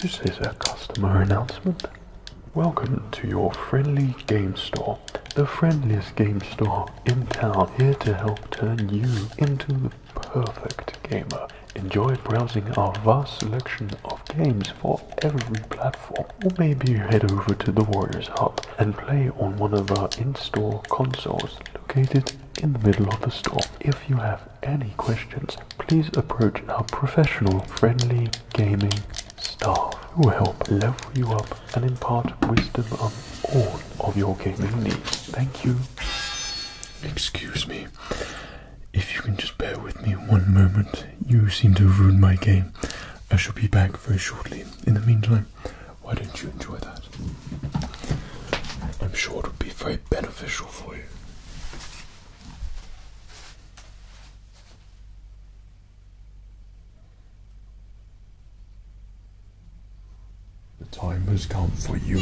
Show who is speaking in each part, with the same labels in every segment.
Speaker 1: This is a customer announcement. Welcome to your friendly game store, the friendliest game store in town, here to help turn you into the perfect gamer. Enjoy browsing our vast selection of games for every platform or maybe head over to the Warriors Hub and play on one of our in-store consoles located in the middle of the store. If you have any questions, please approach our professional friendly gaming staff who will help level you up and impart wisdom on all of your gaming needs. Thank you. Excuse me. If you can just bear with me one moment, you seem to ruin my game. I shall be back very shortly. In the meantime, why didn't you enjoy that? I'm sure it would be very beneficial for you. The time has come for you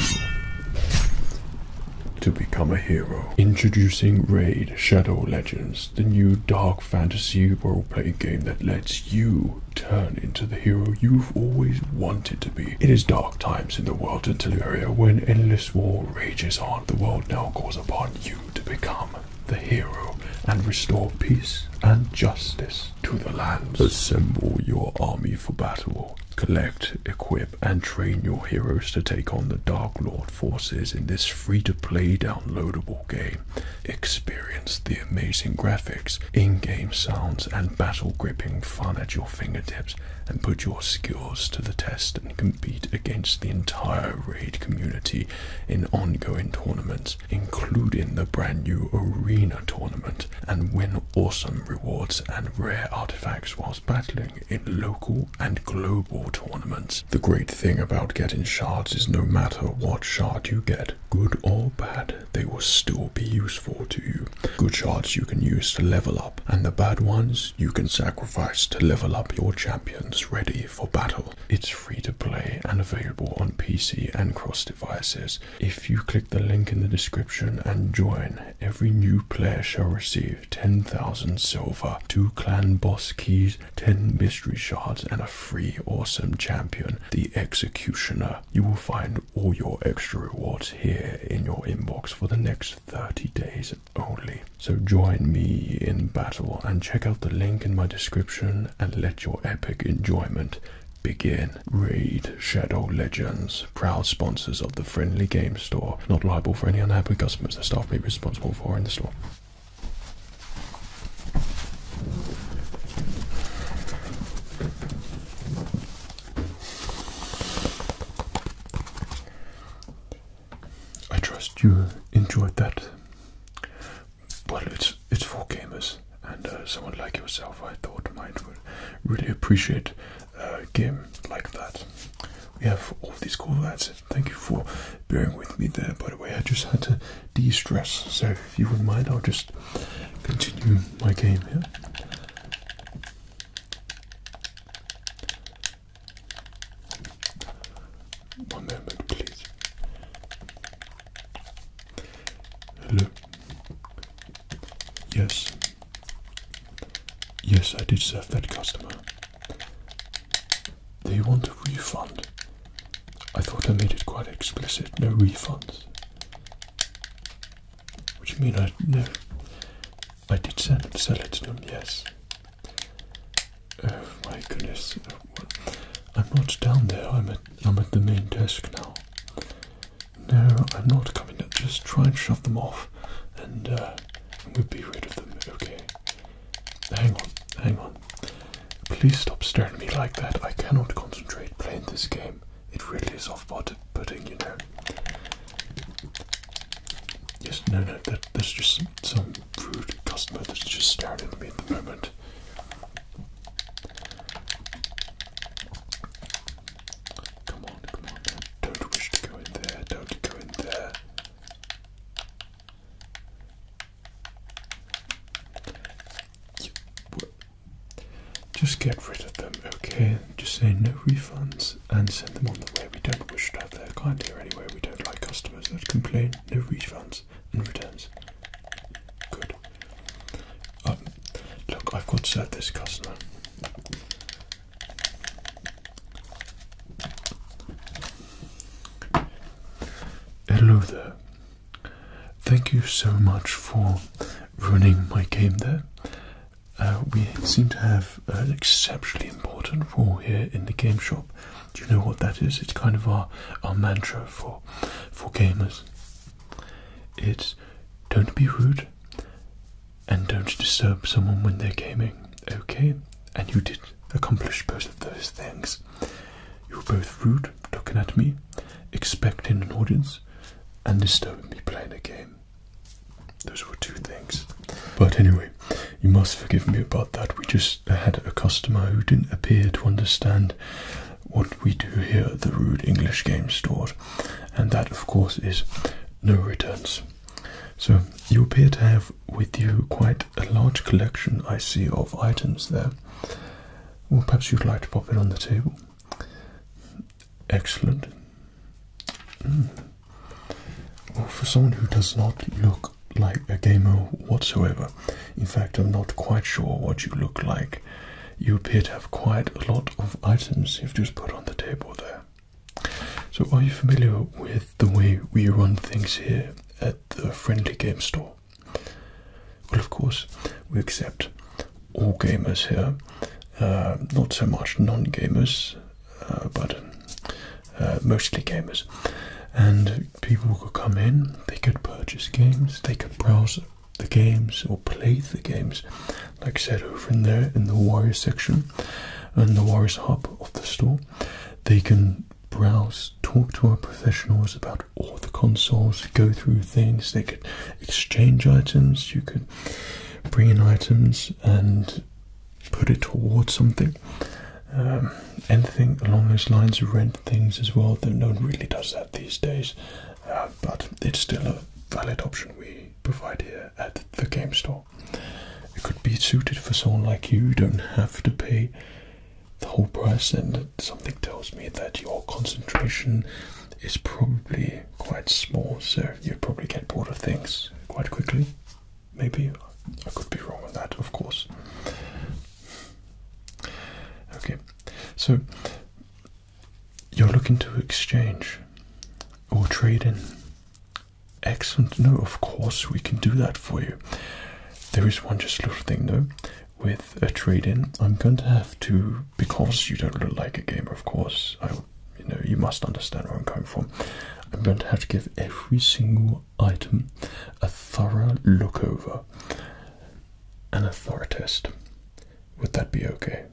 Speaker 1: to become a hero. Introducing Raid Shadow Legends, the new Dark fantasy role playing game that lets you turn into the hero you've always wanted to be. It is dark times in the world of Teleria when endless war rages on. The world now calls upon you to become the hero and restore peace and justice to the lands. Assemble your army for battle. Collect, equip, and train your heroes to take on the Dark Lord forces in this free to play downloadable game. Experience the amazing graphics, in-game sounds, and battle-gripping fun at your fingertips, and put your skills to the test and compete against the entire raid community in ongoing tournaments, including the brand new arena tournament, and win awesome rewards and rare artifacts whilst battling in local and global tournaments. The great thing about getting shards is no matter what shard you get, good or bad, they will still be useful to you. Good shards you can use to level up, and the bad ones you can sacrifice to level up your champions ready for battle. It's free to play and available on PC and cross devices. If you click the link in the description and join, every new player shall receive 10,000 silver, two clan boss keys, 10 mystery shards, and a free awesome champion, the Executioner. You will find all your extra rewards here in your inbox for the next 30 days only. So join me in battle and check out the link in my description and let your epic enjoyment begin. Raid Shadow Legends, proud sponsors of the Friendly Game Store. Not liable for any unhappy customers the staff may be responsible for in the store. I trust you enjoyed that. Well, it's it's for gamers, and uh, someone like yourself, I thought might would really appreciate uh, a game like that. We have all these cool ads Thank you for bearing with me there, by the way. I just had to de stress, so if you wouldn't mind, I'll just continue my game here. One moment, please. Hello. Yes. Yes, I did serve that customer. They want a refund. I thought I made it quite explicit. No refunds. What do you mean I no? I did send it, sell it to them, yes. Oh my goodness. I'm not down there, I'm at I'm at the main desk now. No, I'm not coming Just try and shove them off and uh, we'll be rid of them, okay? Hang on, hang on. Please stop staring at me like that. I cannot concentrate playing this game. It really is off-putting, you know. Yes, no, no, that, that's just some rude customer that's just staring at me at the moment. Come on, come on. Don't wish to go in there. Don't go in there. Just get rid of them, okay? Just say no refunds and send them on the way. We don't wish to have their client here anyway. We don't like customers that complain. No refunds and returns. Good. Um, look, I've got to serve this customer. Hello there. Thank you so much for ruining my game there. Uh, we seem to have uh, an exceptionally important rule here in the game shop. Do you know what that is? It's kind of our, our mantra for for gamers. It's don't be rude and don't disturb someone when they're gaming. Okay? and you did accomplish both of those things. You were both rude, looking at me, expecting an audience, and disturbing me playing a game. Those were two things. But anyway, you must forgive me about that. We just had a customer who didn't appear to understand what we do here at the Rude English Games Store, and that, of course, is no returns. So you appear to have with you quite a large collection, I see, of items there. Well, perhaps you'd like to pop it on the table. Excellent. Hmm. Well, for someone who does not look like a gamer whatsoever, in fact, I'm not quite sure what you look like. You appear to have quite a lot of items you've just put on the table there. So, are you familiar with the way we run things here at the Friendly Game Store. Well, of course, we accept all gamers here, uh, not so much non gamers, uh, but uh, mostly gamers. And people could come in, they could purchase games, they could browse the games or play the games, like said over in there in the Warrior section and the Warriors hub of the store. They can browse, talk to our professionals about all the consoles, go through things. They could exchange items, you could bring in items and put it towards something. Um, anything along those lines, of rent things as well, though no one really does that these days. Uh, but it's still a valid option we provide here at the game store. It could be suited for someone like you, you don't have to pay the whole price, and something tells me that your concentration is probably quite small, so you probably get bored of things quite quickly. Maybe I could be wrong on that, of course. Okay, so you're looking to exchange or trade in Excellent. No, of course we can do that for you. There is one just little thing though. With a trade-in, I'm going to have to because you don't look like a gamer. Of course, I. You know, you must understand where I'm coming from. I'm going to have to give every single item a thorough look over and a thorough test. Would that be okay?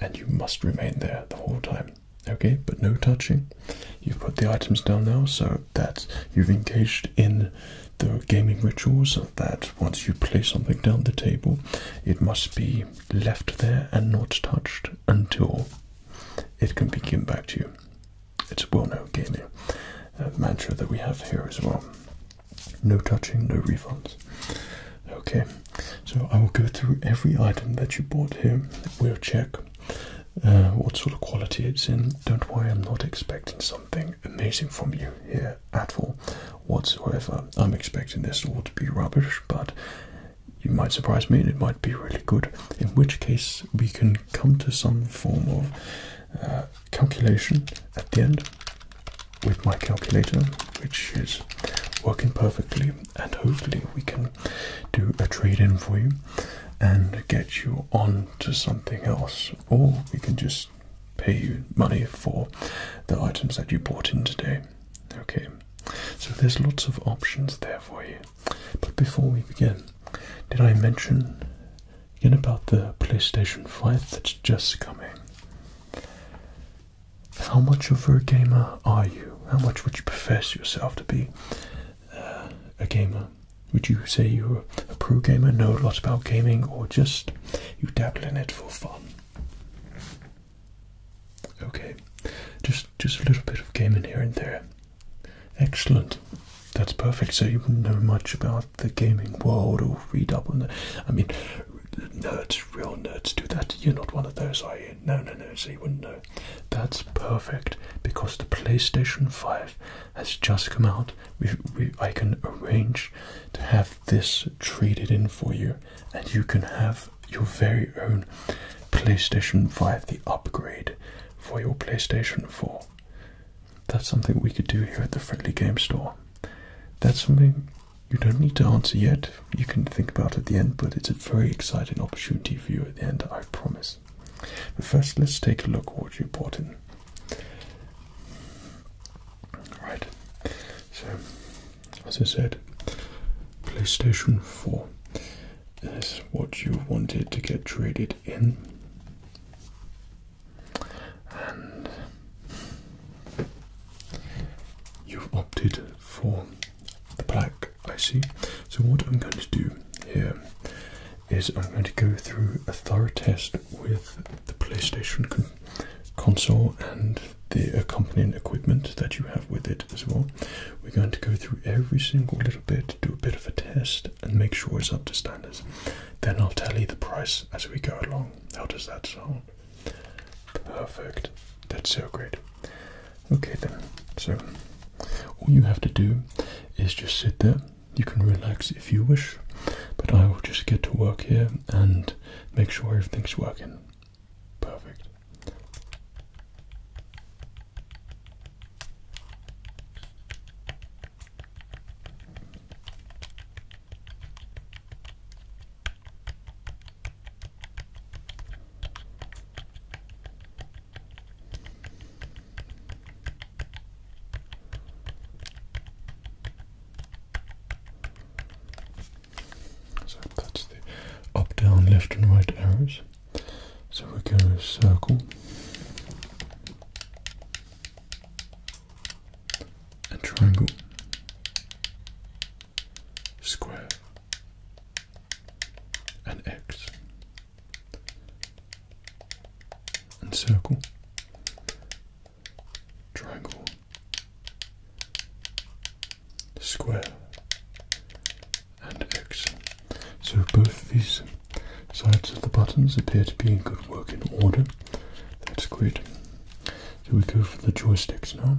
Speaker 1: And you must remain there the whole time. Okay, but no touching. You've put the items down now, so that you've engaged in the gaming rituals of that once you play something down the table, it must be left there and not touched until it can be given back to you. It's a well known gaming uh, mantra that we have here as well. No touching, no refunds. Okay, so I will go through every item that you bought here. We'll check uh, what sort of quality it's in. Don't worry, I'm not expecting something amazing from you here at all whatsoever. I'm expecting this all to be rubbish, but you might surprise me and it might be really good, in which case we can come to some form of uh, calculation at the end with my calculator, which is working perfectly, and hopefully we can do a trade in for you and get you on to something else, or we can just pay you money for the items that you bought in today. Okay, so there's lots of options there for you. But before we begin, did I mention again about the PlayStation 5 that's just coming? How much of a gamer are you? How much would you profess yourself to be? Uh, a gamer would you say you're a pro gamer, know a lot about gaming, or just you dabble in it for fun? Okay, just just a little bit of gaming here and there. Excellent. That's perfect. So you know much about the gaming world or read up on the. I mean, nerds, real nerds do that. You're not one of those, I No, no, no. So you wouldn't know. That's perfect because the PlayStation 5 has just come out. I can arrange to have this traded in for you, and you can have your very own PlayStation 5, the upgrade for your PlayStation 4. That's something we could do here at the Friendly Game Store. That's something you don't need to answer yet. You can think about it at the end, but it's a very exciting opportunity for you at the end, I promise. But first, let's take a look what you bought in. Right. So, as I said, PlayStation 4 is what you wanted to get traded in. And you've opted for the black I see. So what I'm going to do here is I'm going to go through a thorough test with the PlayStation console and the accompanying equipment that you have with it as well. We're going to go through every single little bit, do a bit of a test, and make sure it's up to standards. Then I'll tell you the price as we go along. How does that sound? Perfect. That's so great. Okay then, so all you have to do is just sit there. You can relax if you wish, but I will just get to work here and make sure everything's working. Perfect. So that's the up, down, left and right arrows. So we go circle and triangle, square and X and circle, triangle, square, and X. So both these sides of the buttons appear to be in good working order. That's great. So we go for the joysticks now.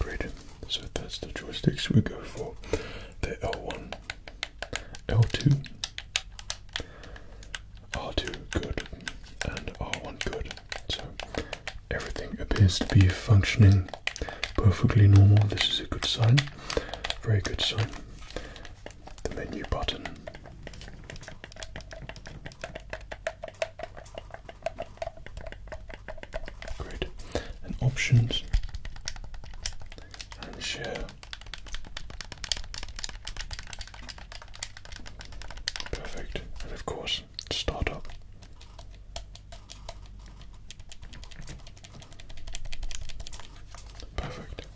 Speaker 1: Great. So that's the joysticks we go for. the L1, L2, R2 good, and R1 good. So everything appears to be functioning perfectly normal. This is a good sign. Very good sign. The menu button. Great. And options and share. Perfect. And of course, start up. Perfect.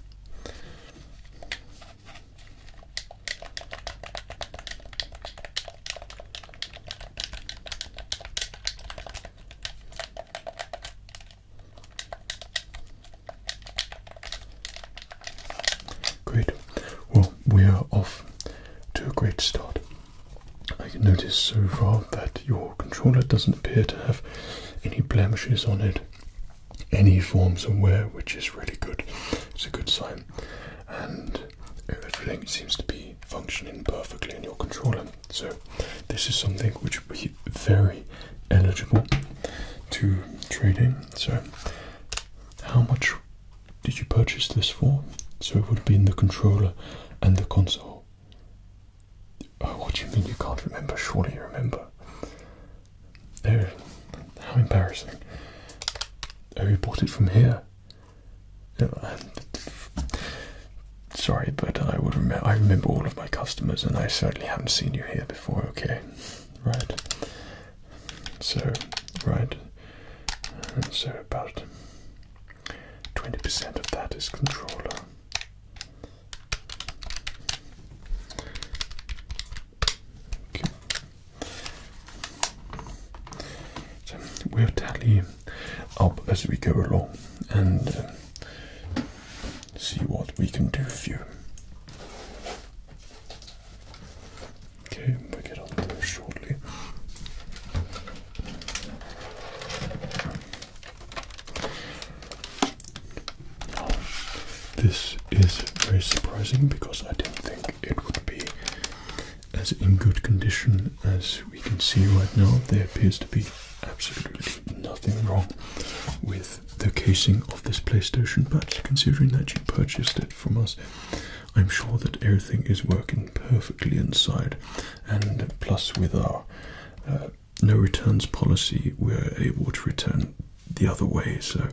Speaker 1: Great. Well, we are off to a great start. I can notice so far that your controller doesn't appear to have any blemishes on it any forms of wear, which is really good. It's a good sign, and everything seems to be functioning perfectly in your controller. So, this is something which would be very eligible to trading. So, how much did you purchase this for? So, it would be in the controller and the console. Uh, what do you mean you can't remember? Surely you remember. There, how embarrassing. I bought it from here. Sorry, but I would remember. I remember all of my customers, and I certainly haven't seen you here before. Okay, right. So, right. so about twenty percent of that is controller we'll tally up as we go along and uh, see what we can do for you. Okay, we get on to shortly this is very surprising because I didn't think it would be as in good condition as we can see right now. There appears to be absolutely nothing wrong with the casing of this PlayStation, but considering that you purchased it from us, I'm sure that everything is working perfectly inside, and plus with our uh, no returns policy, we're able to return the other way. So,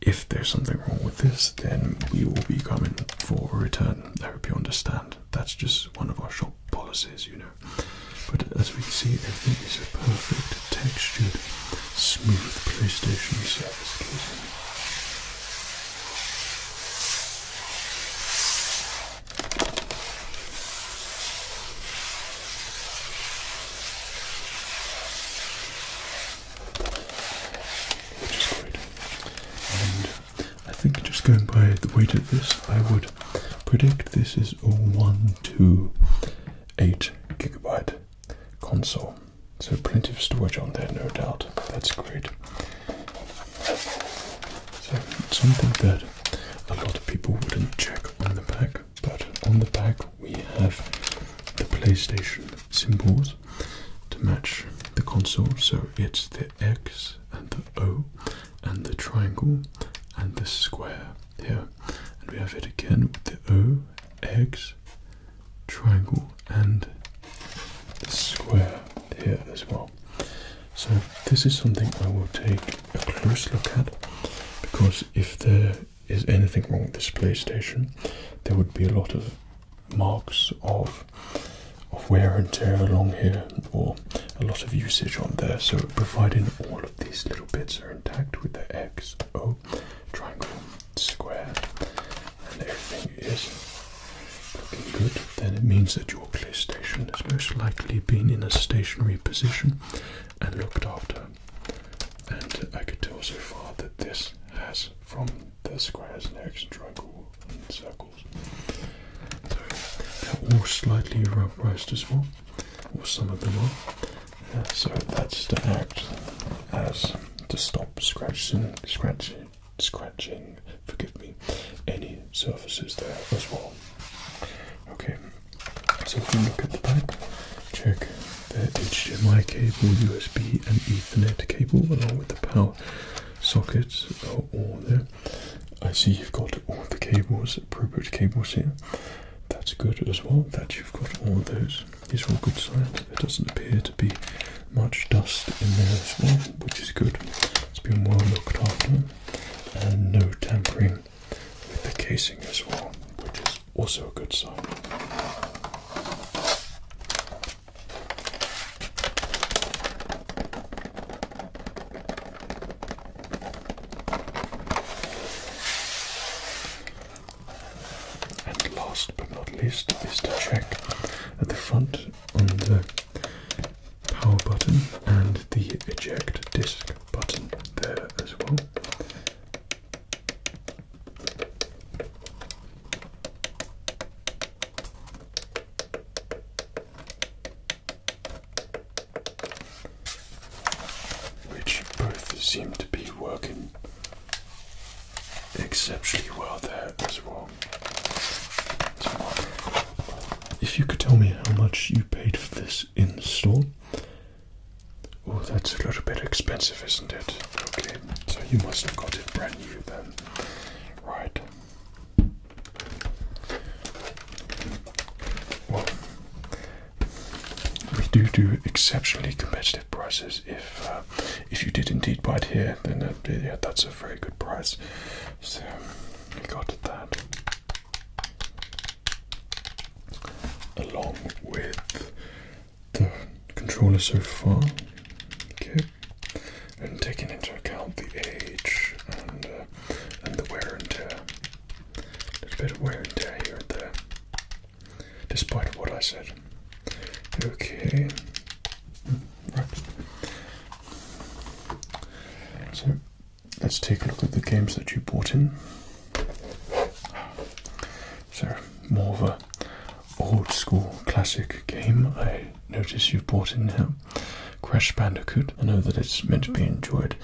Speaker 1: if there's something wrong with this, then we will be coming for a return. I hope you understand. That's just one of our shop policies, you know. But as we see, everything is a perfect textured, smooth PlayStation surface which is great. And I think just going by the weight of this, I would predict this is a 128 gigabyte console. So plenty of storage on there, no doubt. That's great. So something that a lot of people wouldn't check on the back, but on the back we have the PlayStation symbols to match the console. So it's the X and the O and the triangle and the square here. And we have it again with the O, X, triangle and the square here as well. So this is something I will take a close look at because if the is anything wrong with this PlayStation, there would be a lot of marks of wear and tear along here, or a lot of usage on there. So, providing all of these little bits are intact with the X, O, triangle, square, and everything is looking good, then it means that your PlayStation has most likely been in a stationary position and looked after. And I could tell so far that this has from the squares and X triangle circles. So they're all slightly rubberized as well, or some of them are. Uh, so that's to act as to stop scratching, scratching, scratching. Forgive me, any surfaces there as well. Okay, so if you look at the back, check the HDMI cable, USB and Ethernet cable along with the power sockets are all there. I see you've got all the cables, appropriate cables here. That's good as well, that you've got all those. These are all good signs. There doesn't appear to be much dust in there as well, which is good. It's been well looked after and no tampering with the casing as well, which is also a good sign. And last but not least is to check at the front on the power button and the eject disk button there as well. Which both seem to be working exceptionally well there as well. if you could tell me how much you paid for this in the store, Oh, that's a little bit expensive, isn't it? Okay, so you must have got it brand new then. Right. Well, we do do exceptionally competitive prices. If uh, if you did indeed buy it here, then uh, yeah, that's a very good price. So, you got that along with the controller so far. Okay, and taking into account the age and uh, and the wear and tear. a bit of wear and tear here and there, despite what I said. Okay, mm, right. So let's take a look at the games that you bought in. So, more of a old school classic game. I notice you've bought in now. Crash Bandicoot. I know that it's meant to be enjoyed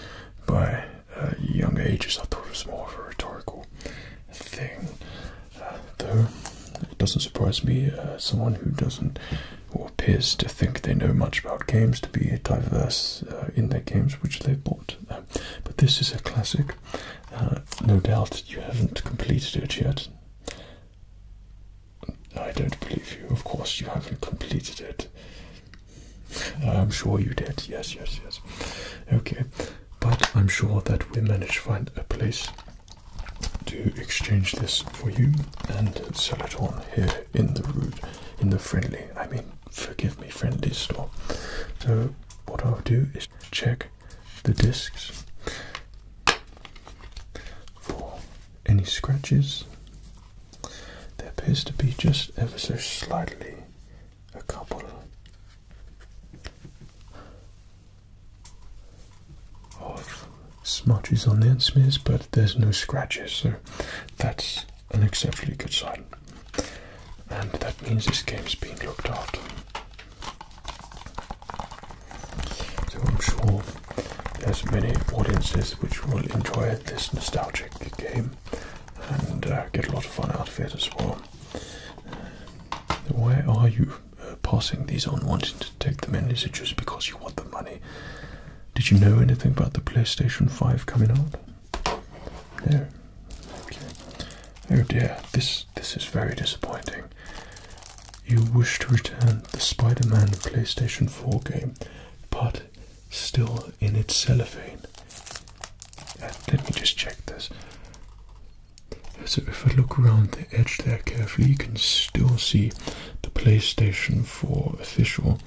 Speaker 1: by uh, young ages. I thought it was more of a rhetorical thing, uh, though it doesn't surprise me. Uh, someone who doesn't or appears to think they know much about games to be diverse uh, in their games which they have bought. But this is a classic. Uh, no doubt you haven't completed it yet. I don't believe you. Of course, you haven't completed it. I'm sure you did. Yes, yes, yes. Okay, but I'm sure that we manage to find a place to exchange this for you and sell it on here in the road, in the friendly. I mean, forgive me friendly store. So what I'll do is check the discs for any scratches. There appears to be just ever so slightly a couple of smudges on the end smears, but there's no scratches, so that's an exceptionally good sign. And that means this game is being looked after. So I'm sure there's many audiences which will enjoy this nostalgic game and uh, get a lot of fun out of it as well. Why are you uh, passing these on, wanting to take them in? Is it just because you want the money? Did you know anything about the PlayStation 5 coming out? Oh dear, this this is very disappointing. You wish to return the Spider-Man PlayStation 4 game, but still in its cellophane. Uh, let me just check this. So if I look around the edge there carefully, you can still see the PlayStation 4 official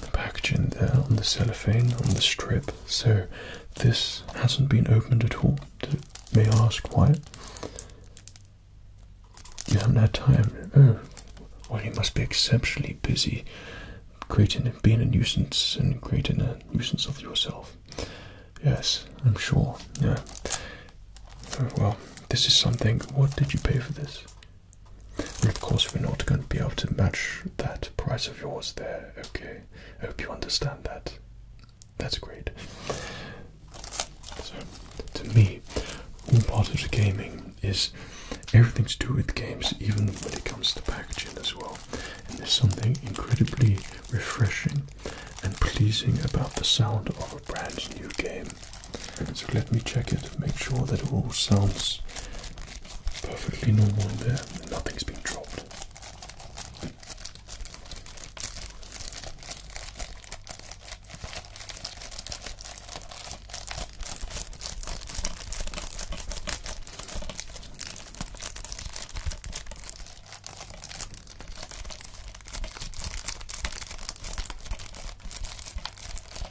Speaker 1: the packaging there on the cellophane, on the strip. So this hasn't been opened at all. may ask why? You haven't had time. Oh, well, you must be exceptionally busy creating being a nuisance and creating a nuisance of yourself. Yes, I'm sure. Yeah. Oh, well, this is something. What did you pay for this? of course, we're not going to be able to match that price of yours there. Okay, I hope you understand that. That's great. So, to me, all part of the gaming is everything to do with games, even when it comes to packaging as well. And there's something incredibly refreshing and pleasing about the sound of a brand new game. So let me check it, make sure that it all sounds Perfectly normal there. Nothing's been dropped.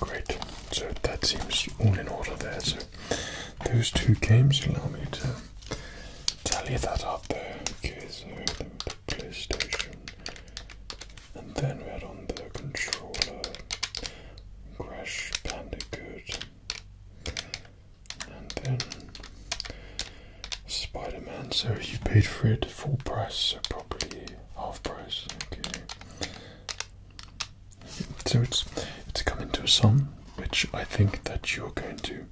Speaker 1: Great, so that seems all in order there. So those two games allow me to tally that up there. Okay, so then the PlayStation, and then we're on the controller. Crash Bandicoot and then Spider-Man. So you paid for it full price, so probably half price. Okay. So it's it's come into a sum, which I think that you're going to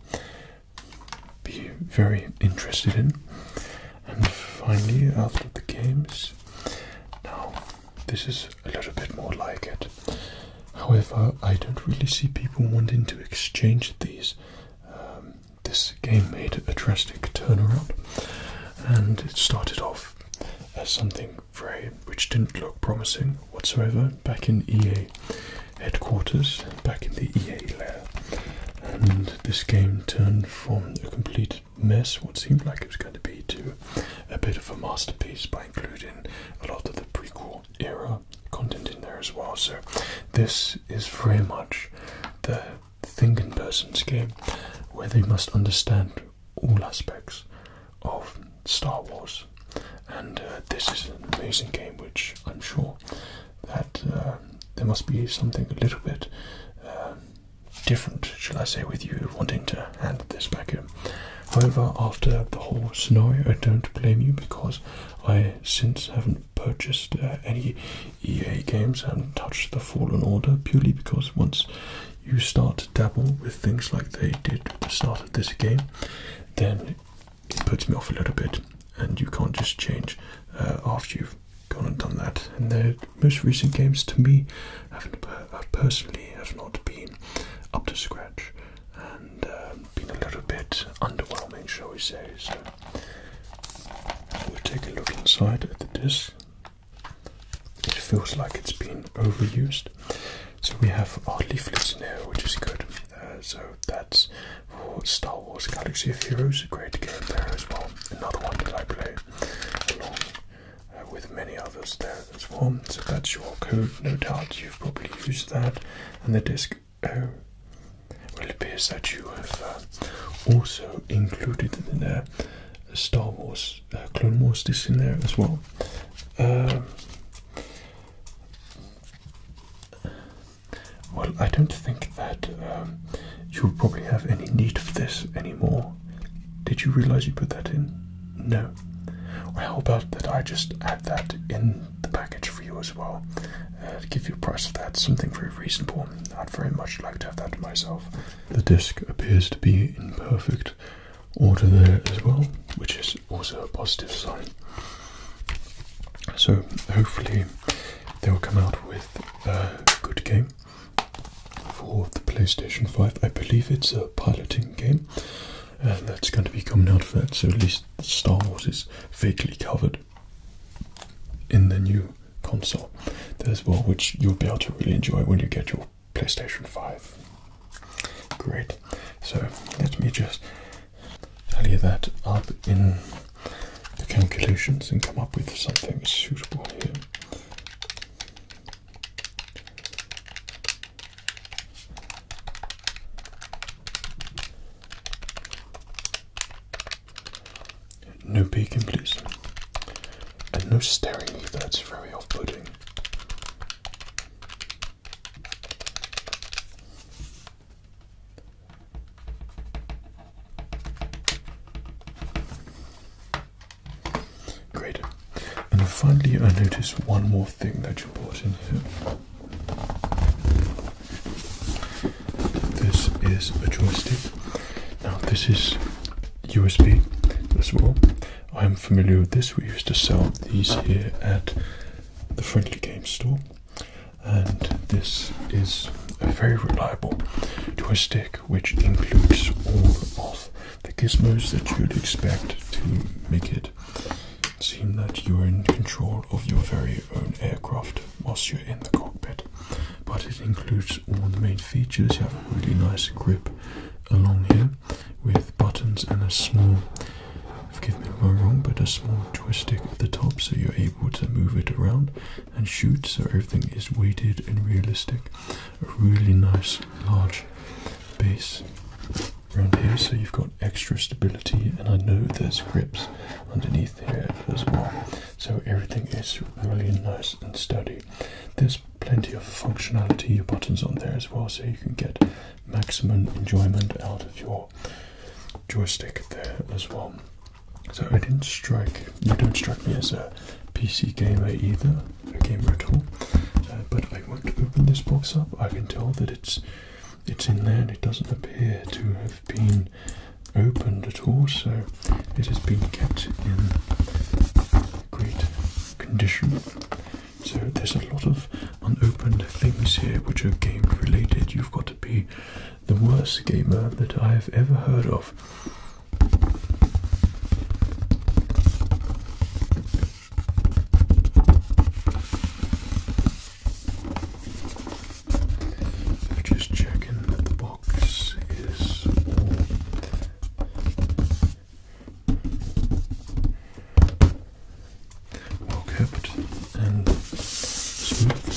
Speaker 1: be very interested in. And finally, after the games, now this is a little bit more like it. However, I don't really see people wanting to exchange these. Um, this game made a drastic turnaround, and it started off as something very which didn't look promising whatsoever back in EA headquarters, back in the EA lair. And this game turned from a complete mess, what seemed like it was going to be, to a bit of a masterpiece by including a lot of the prequel era content in there as well. So this is very much the thinking person's game, where they must understand all aspects of Star Wars. And uh, this is an amazing game, which I'm sure that um, there must be something a little bit. Um, different, shall I say, with you wanting to hand this back in. However, after the whole scenario, I don't blame you because I since haven't purchased uh, any EA games, and touched the Fallen Order purely because once you start to dabble with things like they did at the start of this game, then it puts me off a little bit, and you can't just change uh, after you've gone and done that. And the most recent games to me have uh, personally have not been up to scratch, and um, been a little bit underwhelming, shall we say. So we take a look inside at the disc. It feels like it's been overused. So we have our leaflets in here, which is good. Uh, so that's Star Wars Galaxy of Heroes, a great game there as well. Another one that I play along uh, with many others there that's one. So that's your code, no doubt you've probably used that. And the disk O. Oh, it appears that you have uh, also included the Star Wars, uh, Clone Wars disk in there as well. Um, well, I don't think that um, you'll probably have any need of this anymore. Did you realize you put that in? No how about that I just add that in the package for you as well, to uh, give you a price of that, something very reasonable. Not very much like to have that myself. The disc appears to be in perfect order there as well, which is also a positive sign. So hopefully they'll come out with a good game for the PlayStation 5. I believe it's a piloting game. And uh, that's going to be coming out of that. So at least Star Wars is vaguely covered in the new console There's as which you'll be able to really enjoy when you get your PlayStation 5. Great. So let me just tally that up in the calculations and come up with something suitable here. No peeking, please. And no staring either, it's very off putting. Great. And finally, I noticed one more thing that you brought in here. This is a joystick. Now, this is USB as well. I am familiar with this. We used to sell these here at the Friendly Game Store, and this is a very reliable joystick which includes all of the gizmos that you'd expect to make it it that you are in control of your very own aircraft whilst you're in the cockpit. But it includes all the main features. You have a really nice grip along here with buttons and a small, forgive me if I'm wrong, but a small joystick at the top so you're able to move it around and shoot so everything is weighted and realistic. A really nice large base around here so you've got extra stability and I know there's grips underneath here as well so everything is really nice and sturdy there's plenty of functionality your buttons on there as well so you can get maximum enjoyment out of your joystick there as well so I didn't strike you don't strike me as a PC gamer either a gamer at all. but I want to open this box up. I can tell that it's it's in there it doesn't appear to have been opened at all, so it has been kept in great condition. So there's a lot of unopened things here which are game related. You've got to be the worst gamer that I've ever heard of just checking that the box is well kept and smooth.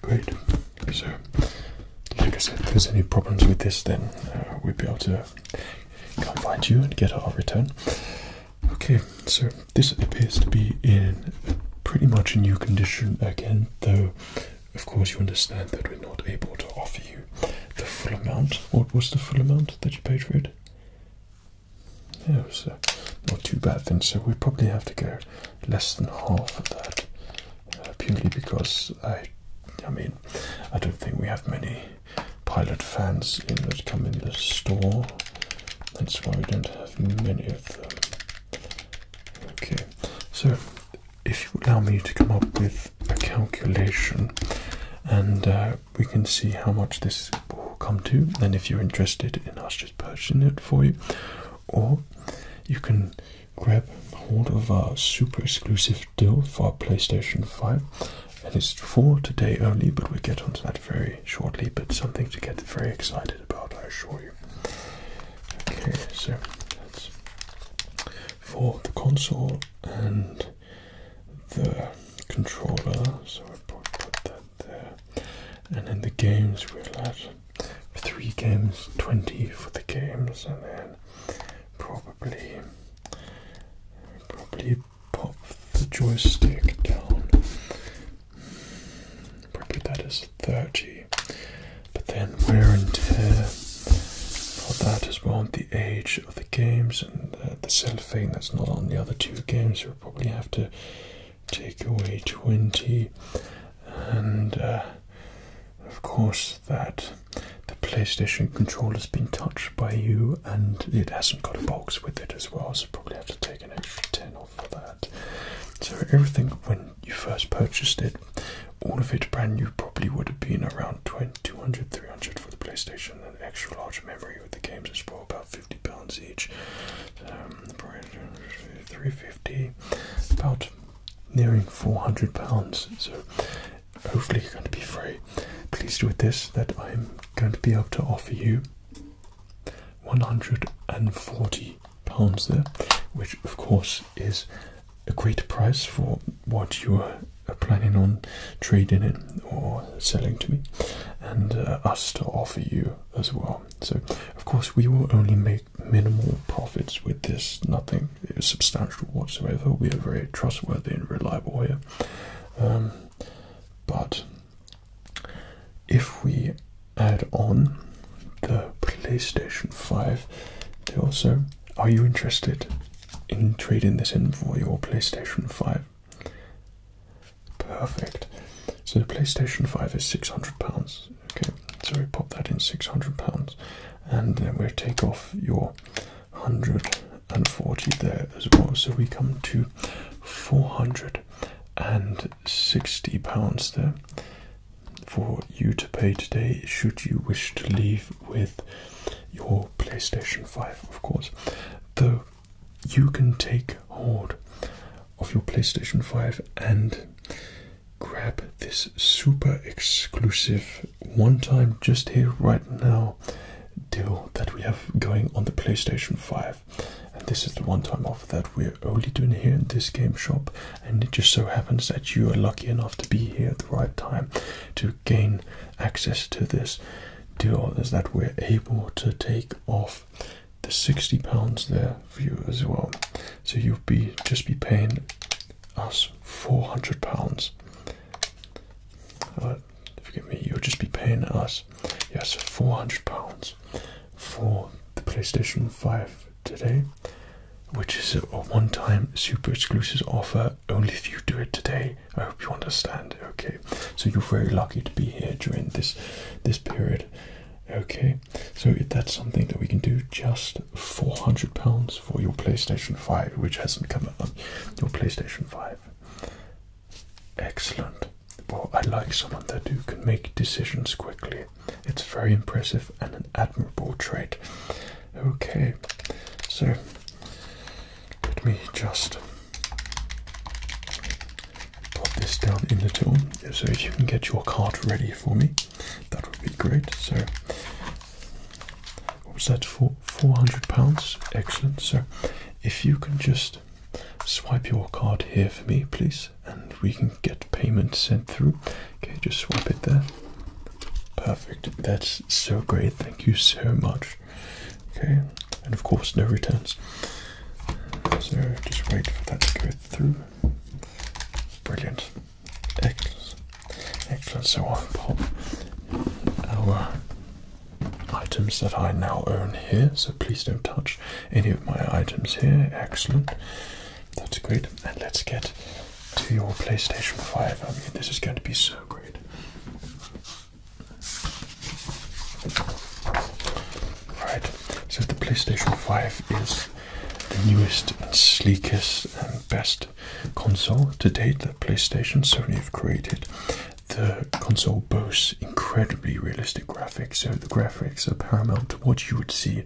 Speaker 1: Great. So, like I said, if there's any problems with this, then uh, we would be able to come find you and get our return. Okay, so this appears to be in pretty much a new condition again, though, of course, you understand that we're not able to offer you the full amount. What was the full amount that you paid for it? it was uh, not too bad then, so we probably have to go less than half of that, uh, purely because I, I mean, I don't think we have many pilot fans that come in the store. That's why we don't have many of them. Okay, so if you allow me to come up with a calculation and uh, we can see how much this will come to and if you're interested in us just purchasing it for you or you can grab hold of our super exclusive deal for PlayStation 5 and it's for today only but we'll get onto that very shortly but something to get very excited about I assure you. Okay so that's for the console and the controller so I put that and in the games we'll add three games, 20 for the games, and then probably probably pop the joystick down. Probably that is 30. But then wear and tear for that as well, the age of the games and the, uh, the cellophane that's not on the other two games, you'll probably have to take away 20, and uh, of course, that the PlayStation controller has been touched by you and it hasn't got a box with it as well, so probably have to take an extra 10 off for that. So, everything when you first purchased it, all of it brand new, probably would have been around 20, 200, 300 for the PlayStation, and extra large memory with the games as well, about fifty pounds each. Um, three fifty, about nearing four hundred pounds. So hopefully you're going to be very pleased with this. That I'm going to be able to offer you one hundred and forty pounds there, which of course is a great price for what you are planning on trading in or selling to me and uh, us to offer you as well so, of course, we will only make minimal profits with this, nothing substantial whatsoever. We are very trustworthy and reliable here. Um, but if we add on the PlayStation 5, they also are you interested in trading this in for your PlayStation 5? Perfect. So the PlayStation 5 is £600. Okay, so we pop that in £600 and then we take off your 140 there as well. So we come to £460 there for you to pay today should you wish to leave with your PlayStation 5, of course. The you can take hold of your PlayStation 5 and grab this super exclusive one time just here right now deal that we have going on the PlayStation 5. And this is the one time offer that we're only doing here in this game shop. And it just so happens that you are lucky enough to be here at the right time to gain access to this deal is that we're able to take off the 60 pounds there for you as well so you'll be just be paying us 400 pounds forgive me you'll just be paying us yes 400 pounds for the playstation 5 today which is a one-time super exclusive offer only if you do it today i hope you understand okay so you're very lucky to be here during this this period Okay, so that's something that we can do just £400 for your PlayStation 5, which hasn't come up. on your PlayStation 5. Excellent. Well, I like someone that who can make decisions quickly. It's very impressive and an admirable trait. Okay, so let me just pop this down in the tool. So if you can get your card ready for me, that would be great. So what was that for? Four hundred pounds. Excellent. So if you can just swipe your card here for me, please, and we can get payment sent through. Okay, just swipe it there. Perfect. That's so great. Thank you so much. Okay, and of course no returns. So just wait for that to go through. Brilliant. Excellent. Excellent. So I'll pop our items that I now own here. So please don't touch any of my items here. Excellent. That's great. And let's get to your PlayStation 5. I mean, this is going to be so great. Right, so the PlayStation 5 is the newest and sleekest and best console to date that PlayStation Sony have created. The console boasts incredibly realistic graphics, so the graphics are paramount to what you would see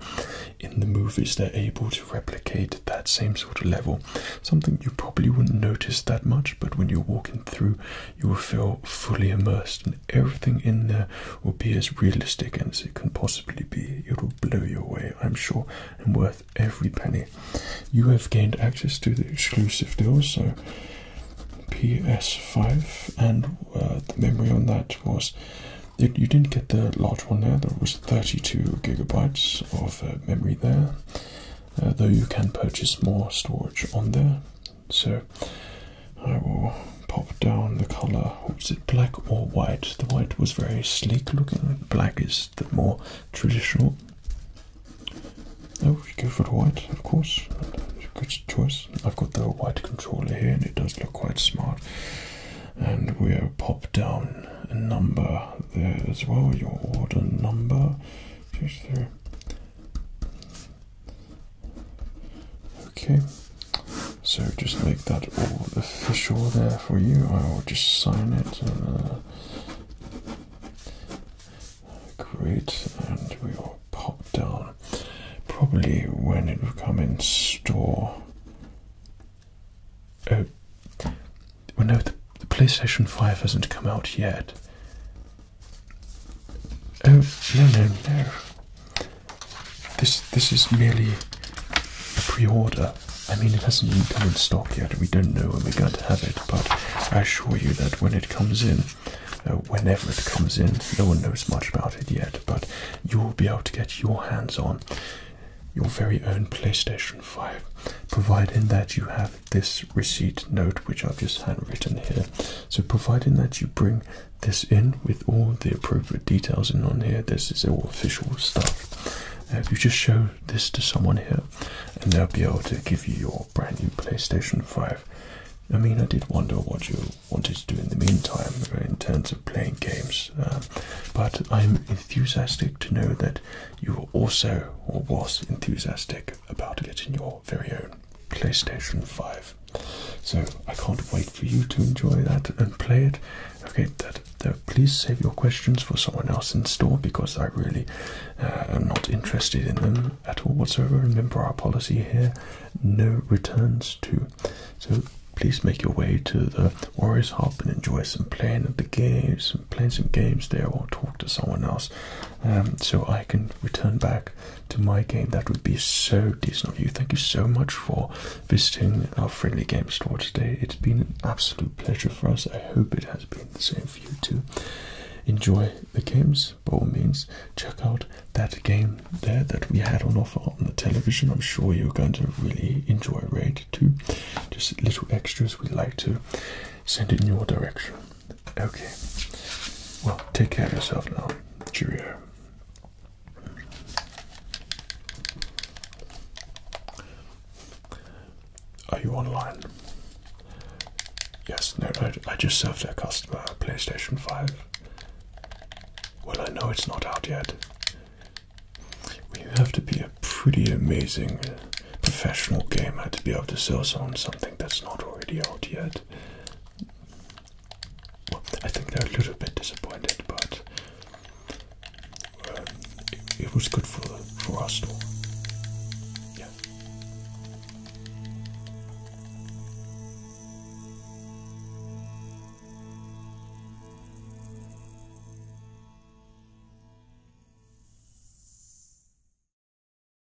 Speaker 1: in the movies. They're able to replicate that same sort of level, something you probably wouldn't notice that much, but when you're walking through, you will feel fully immersed everything in there will be as realistic as it can possibly be. It will blow you away, I'm sure, and worth every penny. You have gained access to the exclusive deal. so PS5, and uh, the memory on that was. you didn't get the large one there, there was 32 gigabytes of uh, memory there, uh, though you can purchase more storage on there. So I will pop down the colour. Was it black or white? The white was very sleek looking. Black is the more traditional. Oh, you go for the white, of course. Good choice. I've got the white controller here, and it does look quite smart. And we'll pop down a number there as well. Your order number. Just there. Okay, so just make that all official there for you. I will just sign it. And, uh, great, and we will pop down probably when it will come in store. Oh, well, no, the PlayStation 5 hasn't come out yet. Oh no no no! This this is merely a pre-order. I mean, it hasn't even come in stock yet. We don't know when we're going to have it, but I assure you that when it comes in, uh, whenever it comes in, no one knows much about it yet. But you will be able to get your hands on your very own PlayStation 5, provided that you have this receipt note, which I've just handwritten here, so providing that you bring this in with all the appropriate details and on here, this is all official stuff. Uh, if you just show this to someone here, and they'll be able to give you your brand new PlayStation 5. I mean, I did wonder what you wanted to do in the meantime uh, in terms of playing games, um, but I'm enthusiastic to know that you were also or was enthusiastic about getting your very own PlayStation 5. So I can't wait for you to enjoy that and play it. Okay, that, please save your questions for someone else in store because I really uh, am not interested in them at all whatsoever. Remember our policy here: no returns to. So please make your way to the Warriors Hub and enjoy some playing of the games, and playing some games there, or talk to someone else, um, so I can return back to my game. That would be so decent of you. Thank you so much for visiting our friendly game store today. It's been an absolute pleasure for us. I hope it has been the same for you too. Enjoy the games, by all means. Check out that game there that we had on offer on the television. I'm sure you're going to really enjoy Raid too. Just little extras we'd like to send in your direction. Okay. Well, take care of yourself now. Cheerio. Are you online? Yes, no, I, just served a customer a PlayStation 5. Well, I know it's not out yet. Well, you have to be a pretty amazing professional gamer to be able to sell someone something that's not already out yet. I think they're a little bit disappointed, but um, it, was good for for Arsenal. Yeah.